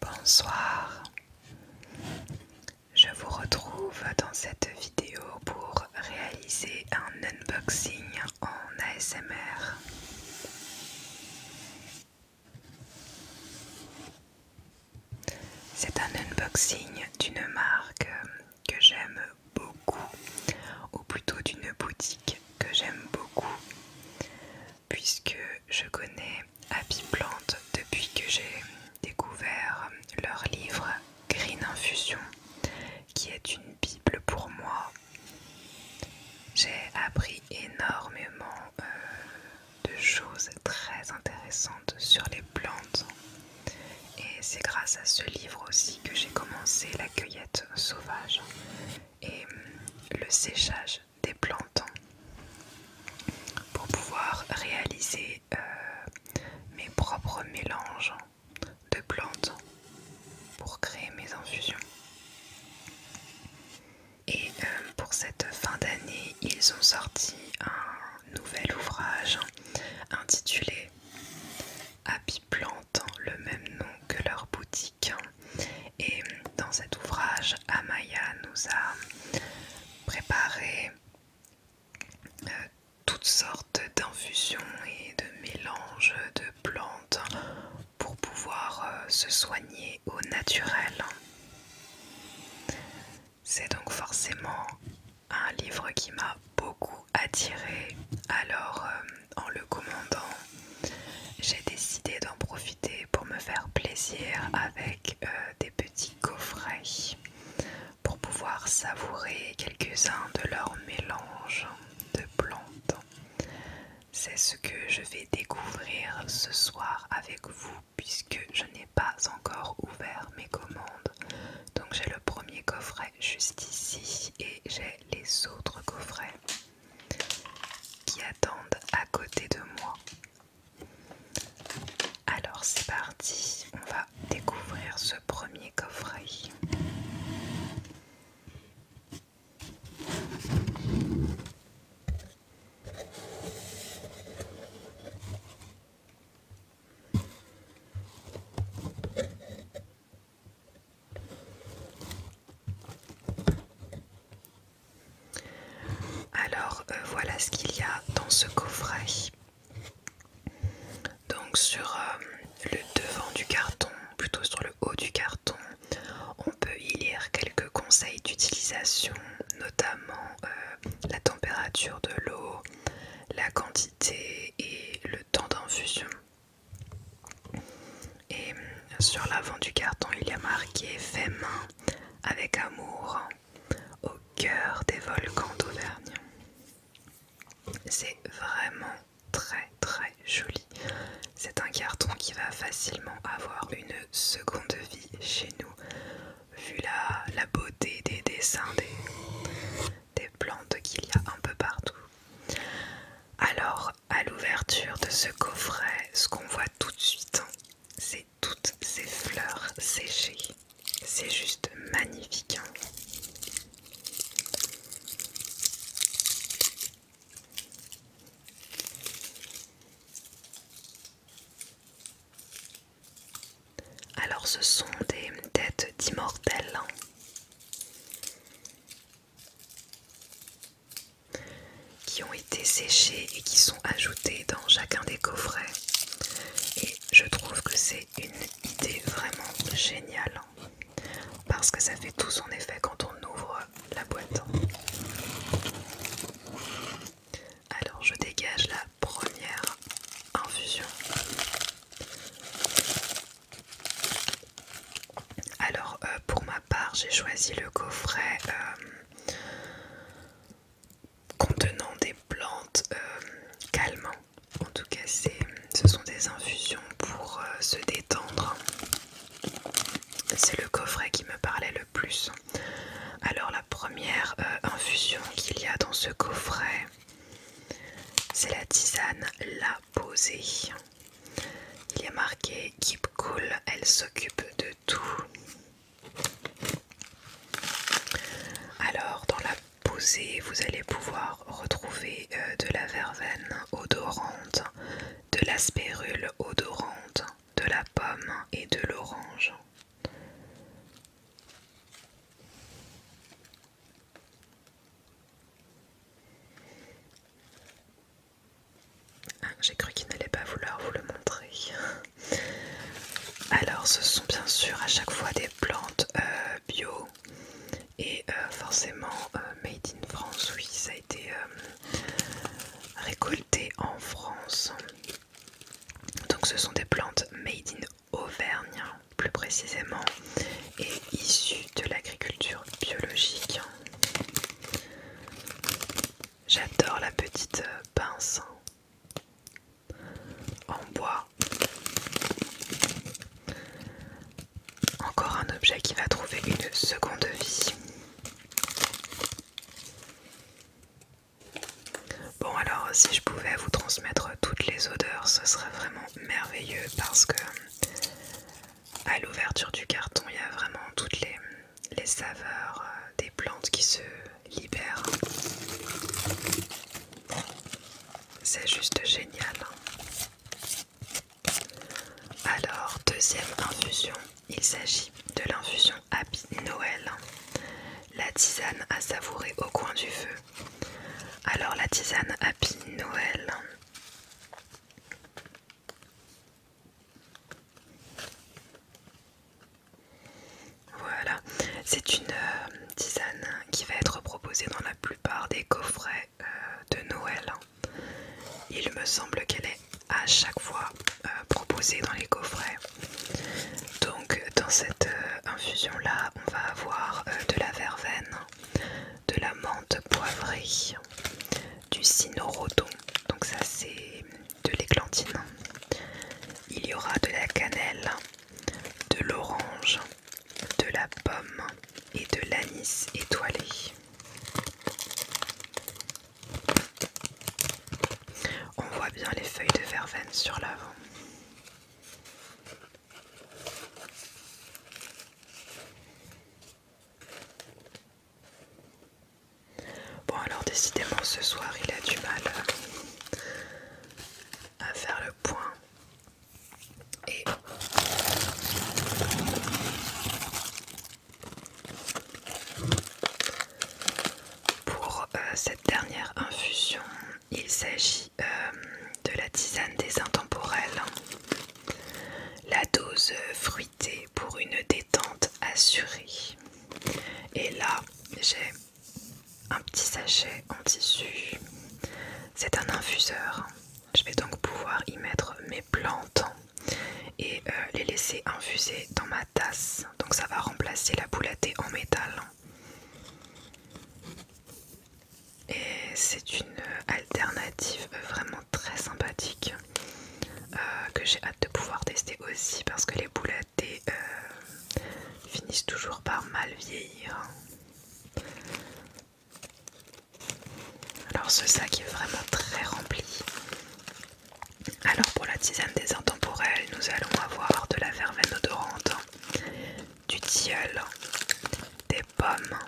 Bonsoir, je vous retrouve dans cette vidéo pour réaliser un unboxing en ASMR. C'est un unboxing d'une marque que j'aime beaucoup, ou plutôt d'une boutique que j'aime beaucoup, puisque je connais Happy Plant depuis que j'ai découvert leur livre Green Infusion, qui est une bible pour moi. J'ai appris énormément euh, de choses très intéressantes sur les plantes. Et c'est grâce à ce livre aussi que j'ai commencé la cueillette sauvage et mm, le séchage des plantes pour pouvoir réaliser euh, mes propres mélanges de plantes pour créer mes infusions. Et euh, pour cette fin d'année, ils ont sorti un nouvel ouvrage intitulé Happy Plant, le même nom que leur boutique. Et dans cet ouvrage, Amaya nous a préparé euh, toutes sortes d'infusions et de mélanges de plantes pour pouvoir euh, se soigner au naturel. C'est donc forcément un livre qui m'a beaucoup attiré, alors euh, en le commandant, j'ai décidé d'en profiter pour me faire plaisir avec euh, des petits coffrets pour pouvoir savourer quelques-uns de leurs mélanges de plantes. C'est ce que je vais découvrir ce soir avec vous puisque je n'ai pas encore ouvert mes commandes. Donc j'ai le premier coffret juste ici et j'ai les autres coffrets qui attendent à côté de moi. Alors c'est parti, on va découvrir ce premier coffret. Alors euh, voilà ce qu'il y a dans ce coffret. Donc sur euh, le devant du carton, plutôt sur le haut du carton, on peut y lire quelques conseils d'utilisation, notamment euh, la température de l'eau, la quantité et le temps d'infusion. Et euh, sur l'avant du carton, il y a marqué Fais main avec amour au cœur des volcans d'Auvergne. C'est vraiment très très joli. C'est un carton qui va facilement avoir une seconde vie chez nous, vu la, beauté des dessins des, plantes qu'il y a un peu partout. Alors, à l'ouverture de ce coffret, ce qu'on voit tout de suite, hein, c'est toutes ces fleurs séchées. C'est juste magnifique. Hein. Alors ce sont des têtes d'immortels. Hein. Qui ont été séchées et qui sont ajoutées dans chacun des coffrets, et je trouve que c'est une idée vraiment géniale hein. parce que ça fait tout son effet quand on ouvre la boîte. Alors je dégage la première infusion. Alors euh, pour ma part j'ai choisi le coffret euh, contenant des plantes euh, calmantes. En tout cas, ce sont des infusions pour euh, se détendre. C'est le coffret qui me parlait le plus. Alors la première euh, infusion qu'il y a dans ce coffret, c'est la tisane La Posée. Il est marqué Keep Cool, elle s'occupe de tout. Alors dans la vous allez pouvoir retrouver euh, de la verveine odorante, de la spérule odorante, de la pomme et de l'orange. Ah, j'ai cru qu'il n'allait pas vouloir vous le montrer. Alors, ce sont bien sûr à chaque fois des plantes euh, bio et euh, forcément euh, made in France oui ça a été euh, récolté en France donc ce sont des plantes made in Auvergne plus précisément et issues de l'agriculture biologique j'adore la petite pince en bois. Encore un objet qui va trouver une seconde vie. Bon alors si je pouvais vous transmettre toutes les odeurs, ce serait vraiment merveilleux parce que à l'ouverture du carton, il y a vraiment toutes les, les saveurs euh, des plantes qui se libère. C'est juste génial. Alors, deuxième infusion, il s'agit de l'infusion Happy Noël. La tisane à savourer au coin du feu. Alors, la tisane Happy Noël. Voilà, c'est une euh, tisane qui va être proposée dans la plupart des coffrets euh, de Noël. Il me semble qu'elle est à chaque fois euh, proposée dans les coffrets. Donc dans cette infusion là, on va avoir de la verveine, de la menthe poivrée, du cynorhodon, donc ça c'est de l'églantine. Il y aura de la cannelle, de l'orange, de la pomme et de l'anis étoilé. On voit bien les feuilles de verveine sur l'avant. Bon alors décidément ce soir il a du mal à faire le point et pour euh, cette dernière infusion, il s'agit euh, de la tisane des intemporels. La dose fruitée pour une détente assurée. Et là, j'ai un petit sachet en tissu. C'est un infuseur. Je vais donc pouvoir y mettre mes plantes et euh, les laisser infuser dans ma tasse. Donc ça va remplacer la boulette en métal. Et c'est une alternative vraiment très sympathique euh, que j'ai hâte de pouvoir tester aussi parce que les boulettes des euh, finissent toujours par mal vieillir. Alors ce sac est vraiment très rempli. Alors pour la tisane des intemporels, nous allons avoir de la verveine odorante, du tilleul, des pommes,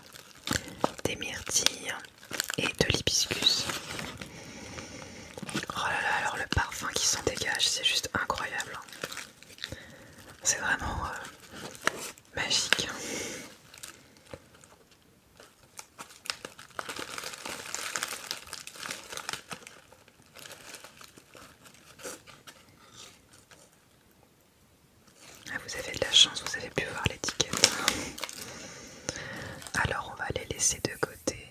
des myrtilles et de l'hibiscus. Oh là là, alors le parfum qui s'en dégage, c'est juste incroyable. C'est vraiment euh, magique. Ah, vous avez de la chance, vous avez pu voir l'étiquette. Alors on va les laisser de côté.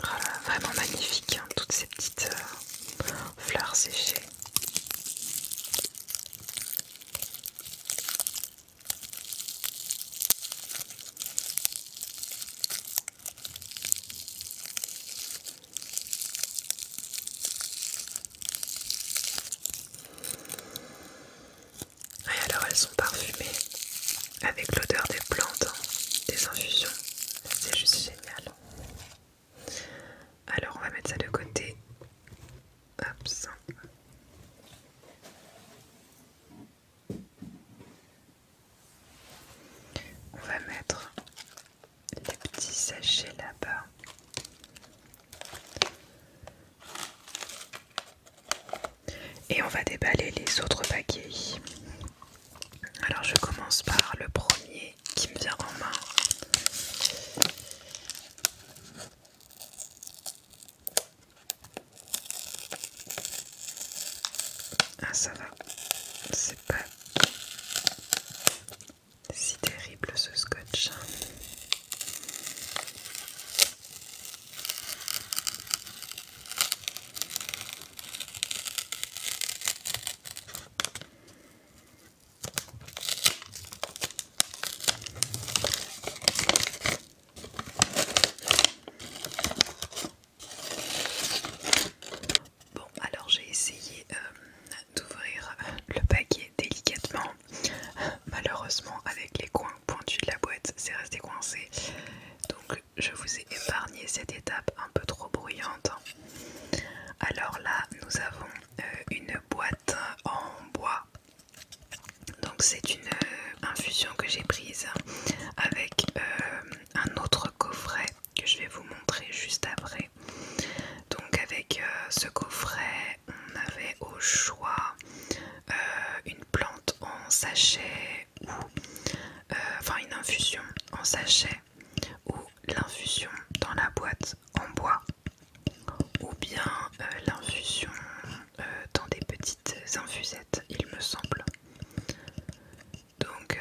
Voilà, vraiment magnifique, hein, toutes ces petites euh, fleurs séchées. Et alors elles sont parfumées avec l'odeur des plantes, hein, des infusions. C'est juste génial. Alors on va mettre ça de côté. Hop On va mettre les petits sachets là-bas. Et on va déballer les autres paquets. Alors je commence par le premier qui me vient en main. Ah ça va, c'est pas si terrible ce scotch. Bon, alors j'ai essayé euh, d'ouvrir le paquet délicatement. Malheureusement, avec les coins pointu de la boîte c'est resté coincé. Donc je vous ai épargné cette étape un peu trop bruyante. Alors là, nous avons euh, une boîte en bois. Donc c'est une euh, infusion que j'ai prise avec euh, un autre coffret que je vais vous montrer juste après. Donc avec ce coffret, on avait au choix une plante en sachet ou euh, enfin une infusion en sachet ou l'infusion dans la boîte en bois ou bien euh, l'infusion euh, dans des petites infusettes il me semble donc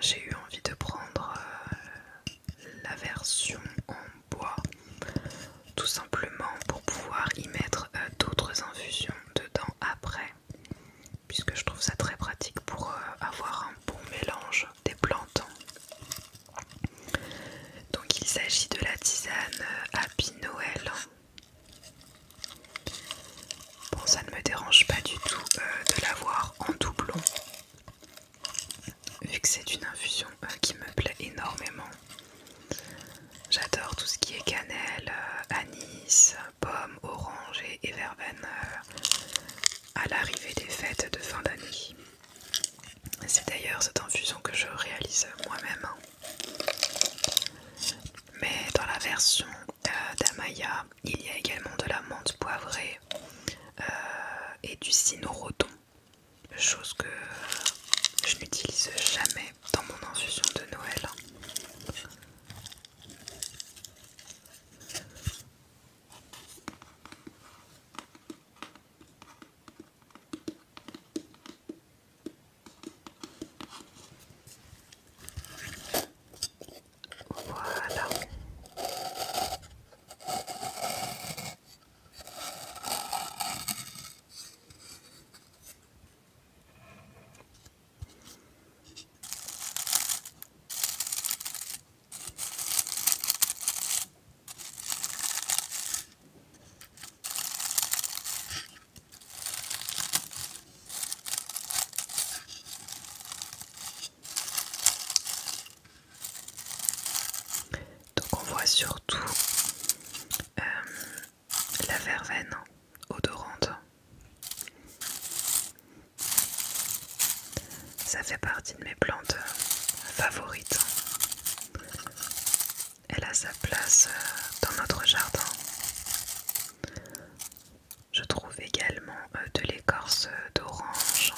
j'ai eu envie de prendre la version en bois tout simplement pour pouvoir y mettre euh, d'autres infusions dedans après puisque je trouve ça très pratique pour euh, avoir un bon mélange des plantes donc il s'agit de la tisane euh, Happy Noël bon ça ne me dérange pas du tout de l'avoir en doublon vu que c'est une infusion qui me plaît énormément J'adore tout ce qui est cannelle, euh, anis, pomme, orange et verveine euh, à l'arrivée des fêtes de fin d'année. C'est d'ailleurs cette infusion que je réalise moi-même. Hein. Mais dans la version euh, d'Amaya, il y a également de la menthe poivrée et du cynorhodon, chose que je n'utilise jamais dans mon infusion de Noël. Voilà. Donc on voit surtout euh, la verveine odorante. Ça fait partie de mes plantes favorites. Elle a sa place euh, dans notre jardin. Je trouve également euh, de l'écorce d'orange.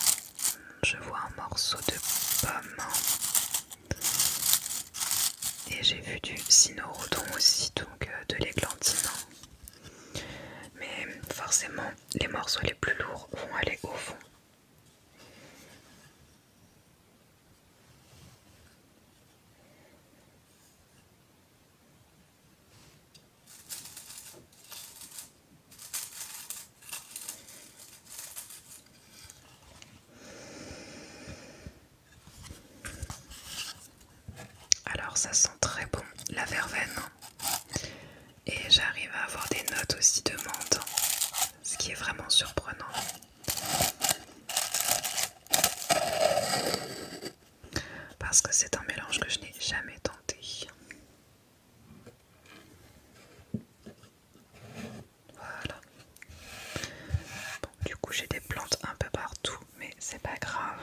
Je vois un morceau de pomme et j'ai vu du sinorodon aussi, donc euh, de l'églantine. Hein. Mais forcément, les morceaux les plus lourds vont aller au fond. Alors ça sent très bon la verveine et j'arrive à avoir des notes aussi de menthe, ce qui est vraiment surprenant. Parce que c'est un mélange que je n'ai jamais tenté. Voilà. du coup, j'ai des plantes un peu partout, mais c'est pas grave.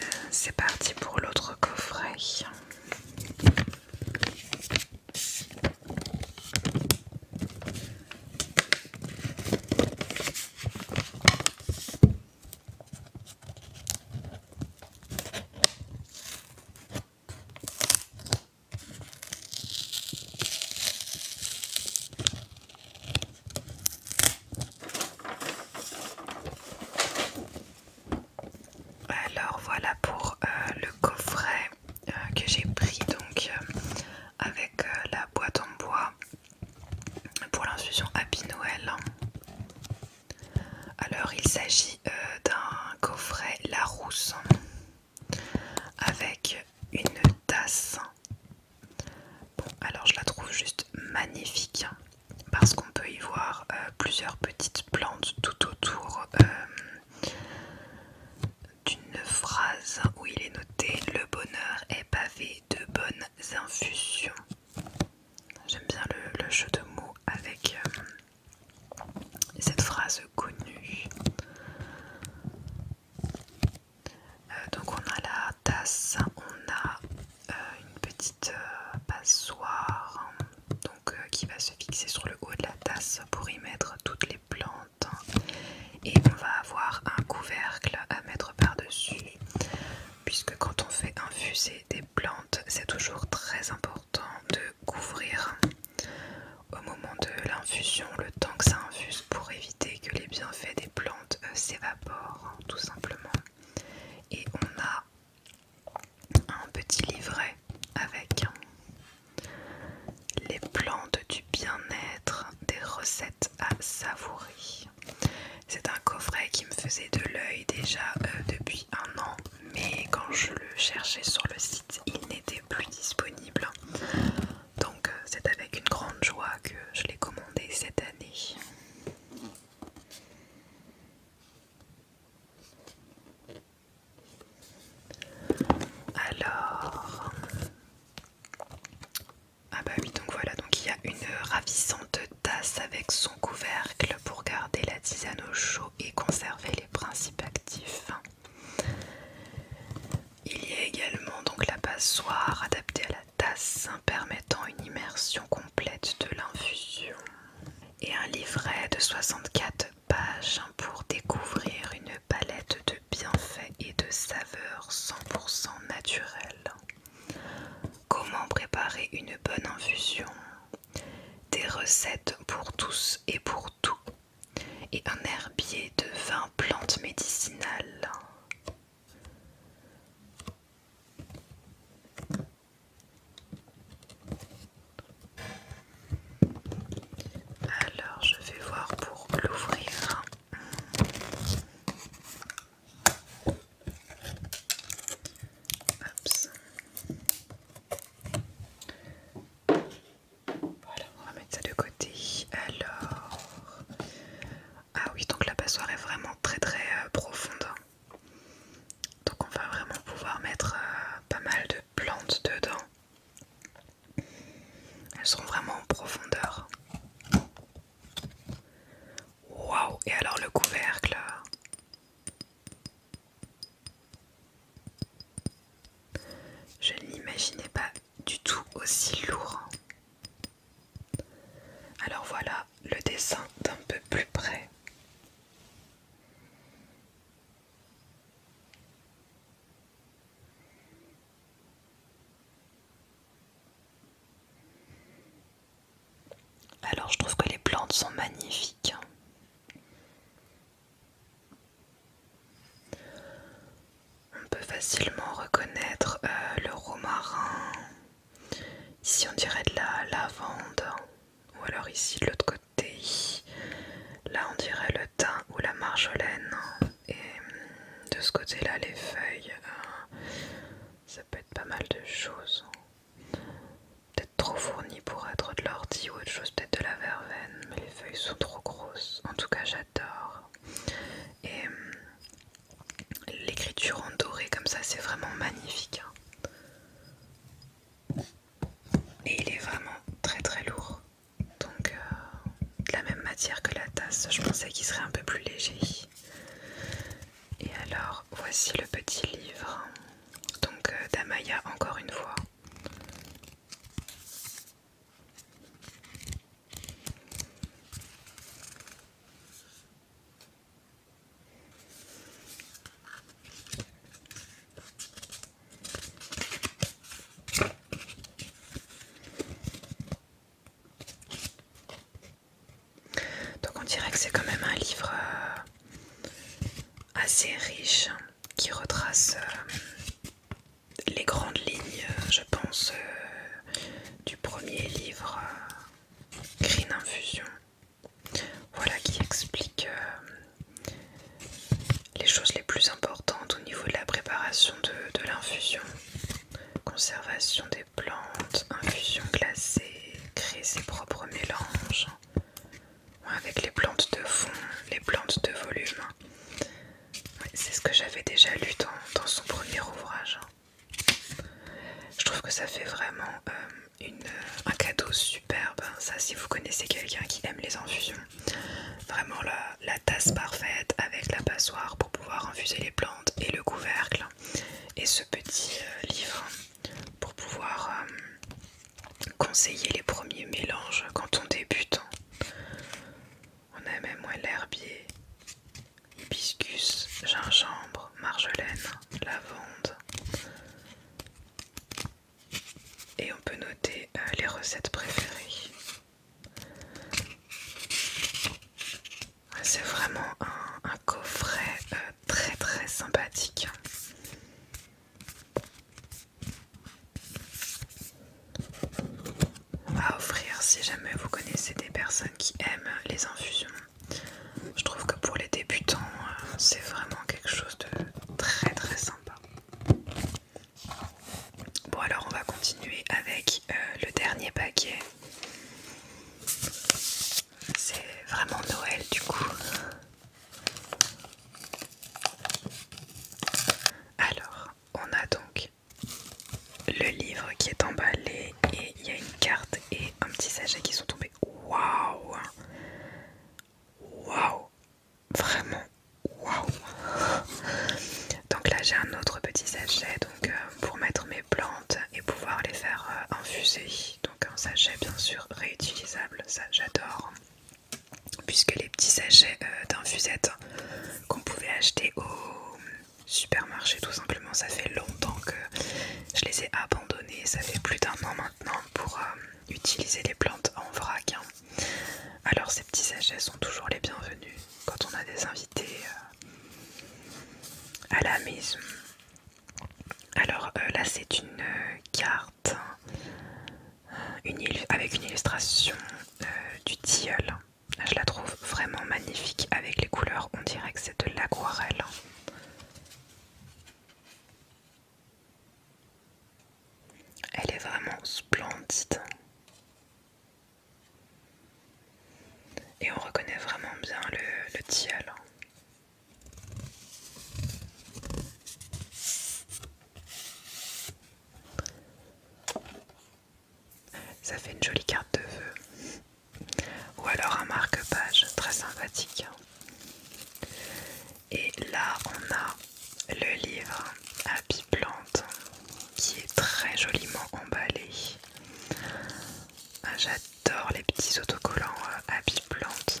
Euh, c'est parti pour l'autre coffret. Alors voilà pour euh, le coffret euh, que j'ai pris donc euh, avec la boîte en bois pour l'infusion Happy Noël. Alors il s'agit euh, d'un coffret Larousse avec une tasse. Bon, alors je la trouve juste magnifique parce qu'on peut y voir euh, plusieurs petites plantes tout autour euh, d'une phrase où il est noté le bonheur est pavé de bonnes infusions. J'aime bien le, jeu de mots avec cette phrase connue. Euh, donc on a la tasse, on a euh, une petite euh, passoire donc, qui va se fixer sur le haut de la tasse pour y mettre toutes les plantes et on va avoir un couvercle à mettre par-dessus puisque quand on fait infuser des plantes, c'est toujours très important de couvrir au moment de l'infusion, le temps que ça infuse pour éviter que les bienfaits des plantes euh, s'évaporent, hein, tout simplement. Et on a un petit livret avec hein, les plantes du bien-être, des recettes à savourer. C'est un coffret qui me faisait de l'œil déjà euh, depuis un an mais quand je le cherchais sur le site, il n'était plus disponible. Donc euh, c'est avec une grande joie que je l'ai commandé cette année. Alors... Ah bah oui, donc voilà, donc il y a une ravissante tasse avec son couvercle pour garder la tisane au chaud et conserver les principes actifs. Il y a également donc la passoire adaptée à la tasse permettant une immersion complète de l'infusion et un livret de 64 pages pour découvrir une palette de bienfaits et de saveurs 100% naturelles. Comment préparer une bonne infusion des recettes pour tous et pour tout, et un herbier de 20 plantes médicinales. Alors, je vais voir pour l'ouvrir. Voilà, on va mettre ça de côté. Alors, ah oui, donc la passoire est vraiment très très euh, profonde. Donc on va vraiment pouvoir mettre euh, pas mal de plantes dedans. Elles sont vraiment en profondeur. Waouh Et alors le couvercle je ne l'imaginais pas du tout aussi lourd. Alors voilà le dessin d'un peu plus près. Alors je trouve que les plantes sont magnifiques. On peut facilement reconnaître euh, le romarin. Ici on dirait de la lavande. Ou alors ici de l'autre côté. Là on dirait le thym ou la marjolaine. Et de ce côté-là les feuilles. Euh, ça peut être pas mal de choses peut-être trop fourni pour être de l'ortie ou autre chose, peut-être de la verveine, mais les feuilles sont trop grosses. En tout cas, j'adore. Et euh, l'écriture en doré comme ça, c'est vraiment magnifique. Hein. Et il est vraiment très très lourd. Donc euh, de la même matière que la tasse, je pensais qu'il serait un peu plus léger. Et alors, voici le petit livre. Donc, euh, d'Amaya, encore une fois. Donc on dirait que c'est quand même un livre euh, assez riche hein, qui retrace euh, les grandes lignes, euh, je pense, du premier livre Green Infusion. Voilà qui explique les choses les plus importantes au niveau de la préparation de l'infusion. Conservation des plantes, infusion glacée, créer ses propres mélanges avec les plantes de fond, les plantes de volume. C'est ce que j'avais déjà lu dans, son premier ouvrage. Je trouve que ça fait vraiment euh, un cadeau superbe. Hein. Ça, si vous connaissez quelqu'un qui aime les infusions, vraiment la, tasse parfaite avec la passoire pour pouvoir infuser les plantes et le couvercle et ce petit euh, livre pour pouvoir euh, conseiller les premiers mélanges quand on débute. Hein. On a même moins l'herbier, hibiscus, gingembre, marjolaine, lavande. Et on peut noter euh, les recettes préférées. C'est vraiment un, coffret euh, très très sympathique. À offrir si jamais vous connaissez des personnes qui aiment les infusions. Je trouve que pour les débutants, euh, c'est vraiment quelque chose de très très sympa. Bon alors on va continuer avec euh, le dernier paquet. C'est vraiment Noël du coup. Alors, on a donc le livre qui est emballé et il y a une carte et un petit sachet qui sont tombés. Waouh Waouh Vraiment waouh Donc là j'ai un autre petit sachet donc euh, pour mettre mes plantes et pouvoir les faire euh, infuser. Donc un sachet bien sûr réutilisable, ça j'adore. Puisque les petits sachets euh, d'infusette qu'on pouvait acheter au supermarché tout simplement, ça fait longtemps que je les ai abandonnés. Ça fait plus d'un an maintenant pour euh, utiliser les plantes en vrac. Hein. Alors ces petits sachets sont toujours les bienvenus quand on a des invités à la maison. Alors euh, là c'est une euh, carte hein, avec une illustration euh, du tilleul. Je la trouve vraiment magnifique avec les couleurs, on dirait que c'est de l'aquarelle. Elle est vraiment splendide. Et on reconnaît vraiment bien le, le Ça fait une jolie carte de vœux. Ou alors un marque-page très sympathique. Et là, on a le livre à Plante qui est très joliment emballé. Ah, J'adore les petits autocollants à euh, plantes.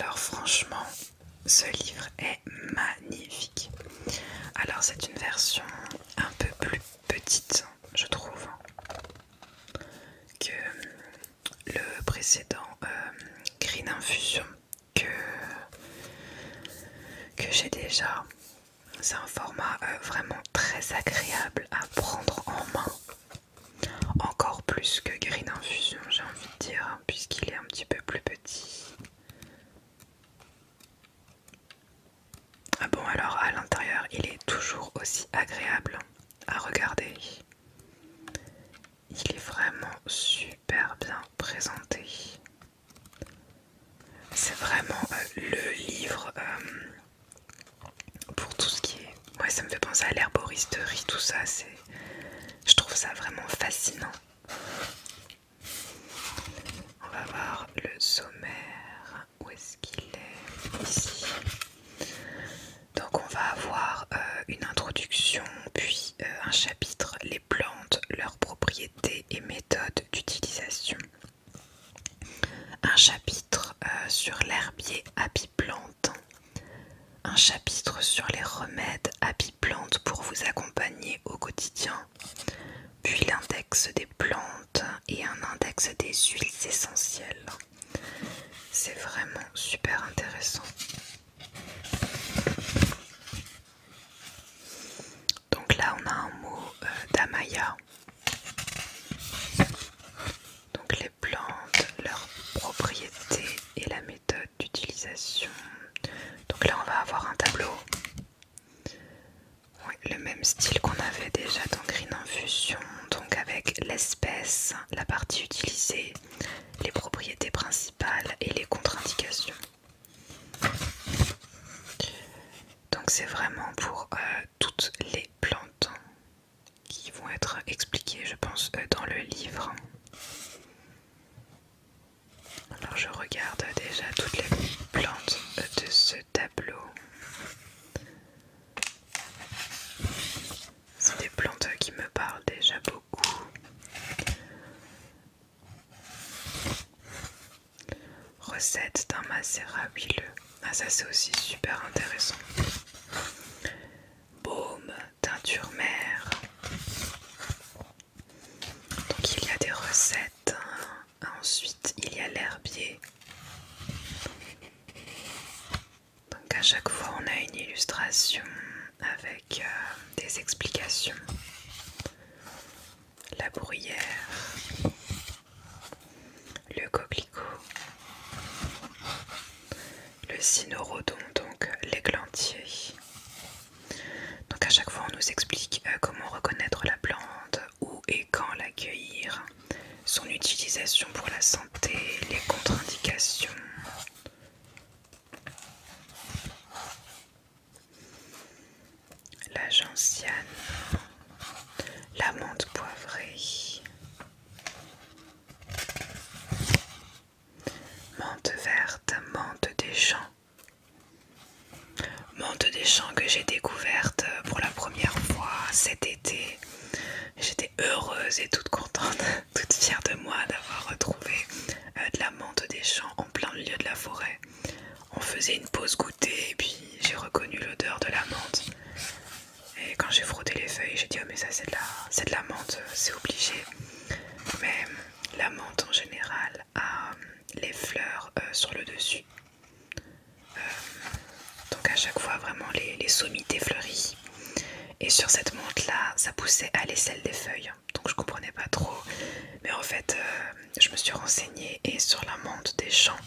Alors franchement, ce livre est magnifique. Alors c'est une version un peu plus petite, je trouve, que le précédent euh, Green Infusion que, que j'ai déjà. C'est un format euh, vraiment très agréable à prendre en main. Encore plus que Green Infusion, j'ai envie de dire, hein, puisqu'il est un petit peu plus petit. Ah bon, alors à l'intérieur, il est toujours aussi agréable à regarder. Il est vraiment super bien présenté. C'est vraiment euh, le livre euh, pour tout ce qui est... Ouais, ça me fait penser à l'herboristerie, tout ça. c'est Je trouve ça vraiment fascinant. On va voir le sommaire. Où est-ce qu'il est Ici. Donc on va avoir euh, une introduction, puis euh, un chapitre, les plantes, leurs propriétés et méthodes d'utilisation. Un chapitre euh, sur l'herbier à apiplante. Un chapitre sur les remèdes à bi-plantes pour vous accompagner au quotidien. Puis l'index des plantes et un index des huiles essentielles. C'est vraiment super intéressant. Donc là on a un mot euh, d'Amaya. Donc les plantes, leurs propriétés et la méthode d'utilisation. Donc là on va avoir un tableau. le même style qu'on avait déjà dans Green Infusion, donc avec l'espèce, la partie utilisée, les propriétés principales et les contre-indications. Donc c'est vraiment pour euh, toutes les plantes qui vont être expliquées, je pense, euh, dans le livre. Alors je regarde déjà toutes les plantes euh, de ce tableau. C'est des plantes qui me parlent déjà beaucoup. Recette d'un macérat huileux. Ah ça c'est aussi super intéressant. Baume, teinture mère. Donc il y a des recettes. Ensuite il y a l'herbier. Donc à chaque fois on a une illustration avec euh, des explications. La bruyère, le coquelicot, le cynorhodon, donc l'églantier. Donc à chaque fois on nous explique euh, comment reconnaître la plante, où et quand l'accueillir, son utilisation pour la santé, les contre-indications, la gentiane, la menthe poivrée, menthe verte, menthe des champs, menthe des champs que j'ai découverte euh, pour la première fois cet été. J'étais heureuse et toute contente toute fière de moi d'avoir retrouvé euh, de la menthe des champs en plein milieu de la forêt. On faisait une pause goûter et puis j'ai reconnu l'odeur de la menthe. Et quand j'ai frotté les feuilles, j'ai dit oh, mais ça c'est de la, de la menthe, euh, c'est obligé. Mais la menthe en général a euh, les fleurs sur le dessus. donc à chaque fois vraiment les, les sommités fleuries et sur cette menthe là, ça poussait à l'aisselle des feuilles, donc je comprenais pas trop. Mais en fait, euh, je me suis renseignée et sur la menthe des champs,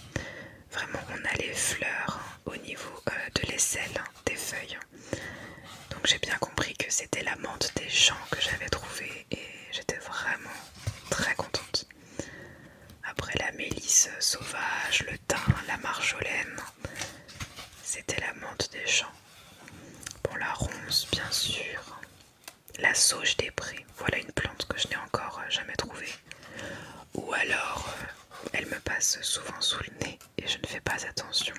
vraiment on a les fleurs au niveau euh, de l'aisselle des feuilles. Donc j'ai bien compris que c'était la menthe des champs que j'avais trouvée et j'étais vraiment très contente. Après la mélisse sauvage, le thym, la marjolaine, c'était la menthe des champs. pour la ronce, bien sûr. La sauge des prés. Voilà une plante que je n'ai encore euh, jamais trouvée. Ou alors, euh, elle me passe souvent sous le nez et je ne fais pas attention.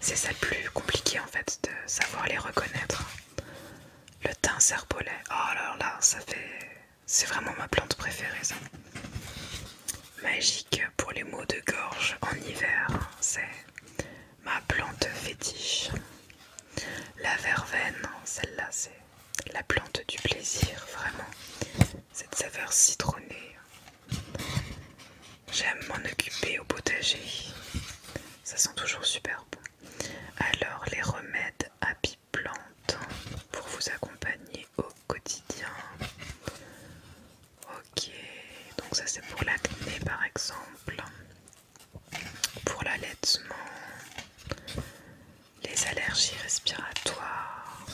C'est ça le plus compliqué en fait, de savoir les reconnaître. Le thym serpolet. Oh là là, ça fait... C'est vraiment ma plante préférée ça magique pour les maux de gorge en hiver. C'est ma plante fétiche. La verveine, celle-là, c'est la plante du plaisir, vraiment. Cette saveur citronnée. J'aime m'en occuper au potager. Ça sent toujours super bon. Alors, les remèdes à plantes pour vous accompagner au quotidien. Ok, donc ça c'est pour l'acné par exemple, pour l'allaitement, les allergies respiratoires,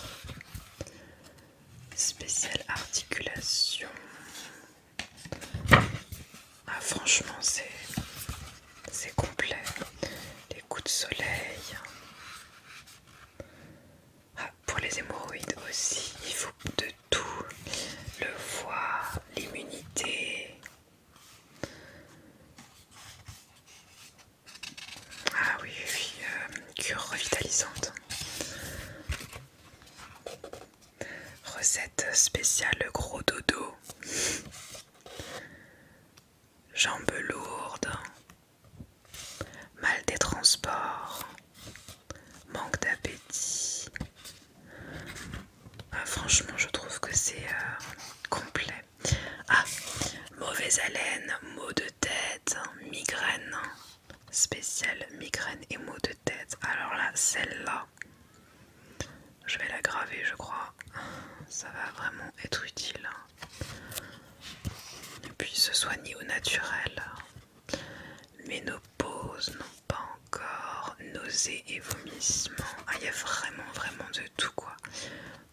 spéciale articulation. Ah franchement c'est complet. Les coups de soleil pour les hémorroïdes aussi, il faut de tout. Le foie, l'immunité. Ah oui, oui, euh, cure revitalisante. Recette spéciale gros dodo. Jambes lourdes, mal des transports, manque d'appétit. Ah, franchement, je trouve que c'est euh, complet. Ah, mauvaise haleine, maux de tête, migraine. spéciale, migraine et maux de tête. Alors là, celle-là, je vais la graver, je crois. Ça va vraiment être utile. Hein. Et puis se soigner au naturel. Mais nos n'ont pas encore nausées et vomissements. Ah, il y a vraiment, vraiment de tout quoi.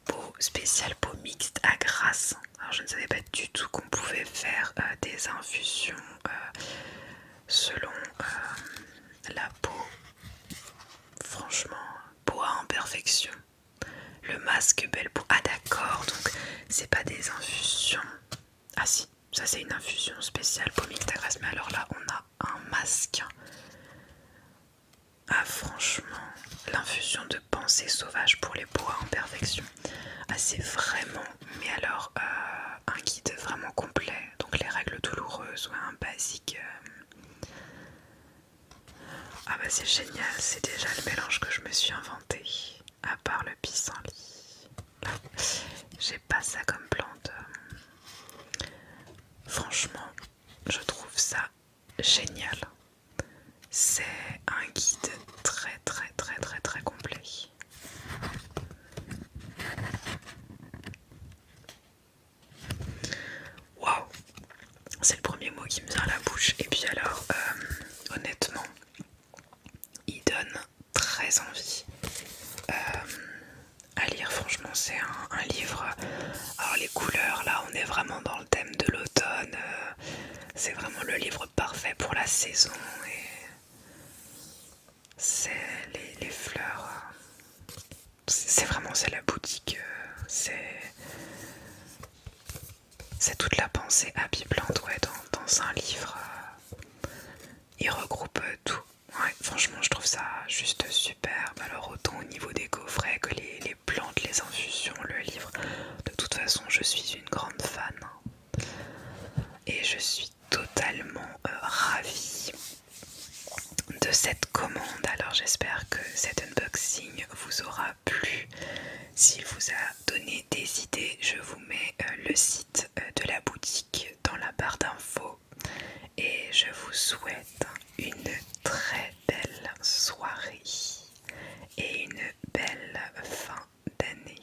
Peau spéciale, peau mixte à grasse. Alors je ne savais pas du tout qu'on pouvait faire euh, des infusions euh, selon euh, la peau. Franchement, peau à imperfection. Le masque belle pour... Ah d'accord, donc c'est pas des infusions. Ah si, ça c'est une infusion spéciale pour Mictagras. Mais alors là, on a un masque. Ah franchement, l'infusion de pensée sauvage pour les bois en perfection. Ah c'est vraiment, mais alors, euh, un guide vraiment complet. Donc les règles douloureuses, ou un basique... Euh, ah bah c'est génial, c'est déjà le mélange que je me suis inventé, à part le pissenlit. J'ai pas ça comme plante. Franchement, je trouve ça génial. C'est un guide très très très très très complet. Waouh c'est le premier mot qui me vient à la bouche. Et puis alors, euh, honnêtement, il donne très envie euh, à lire. Franchement, c'est un, livre. Alors les couleurs, là, on est vraiment dans le thème de l'automne. Euh, c'est vraiment le livre parfait pour la saison. Et c'est les, fleurs. C'est vraiment c'est la boutique. C'est c'est toute la pensée à ouais, dans, dans un livre. Euh, il regroupe euh, tout. franchement, je trouve ça juste superbe. Alors, autant au niveau des coffrets que les, plantes, les infusions, le livre. De toute façon, je suis une grande fan. Hein. Et je suis totalement euh, ravie de cette commande. Alors, j'espère que cet unboxing vous aura plus, s'il vous a donné des idées, je vous mets euh, le site euh, de la boutique dans la barre d'infos et je vous souhaite une très belle soirée et une belle fin d'année.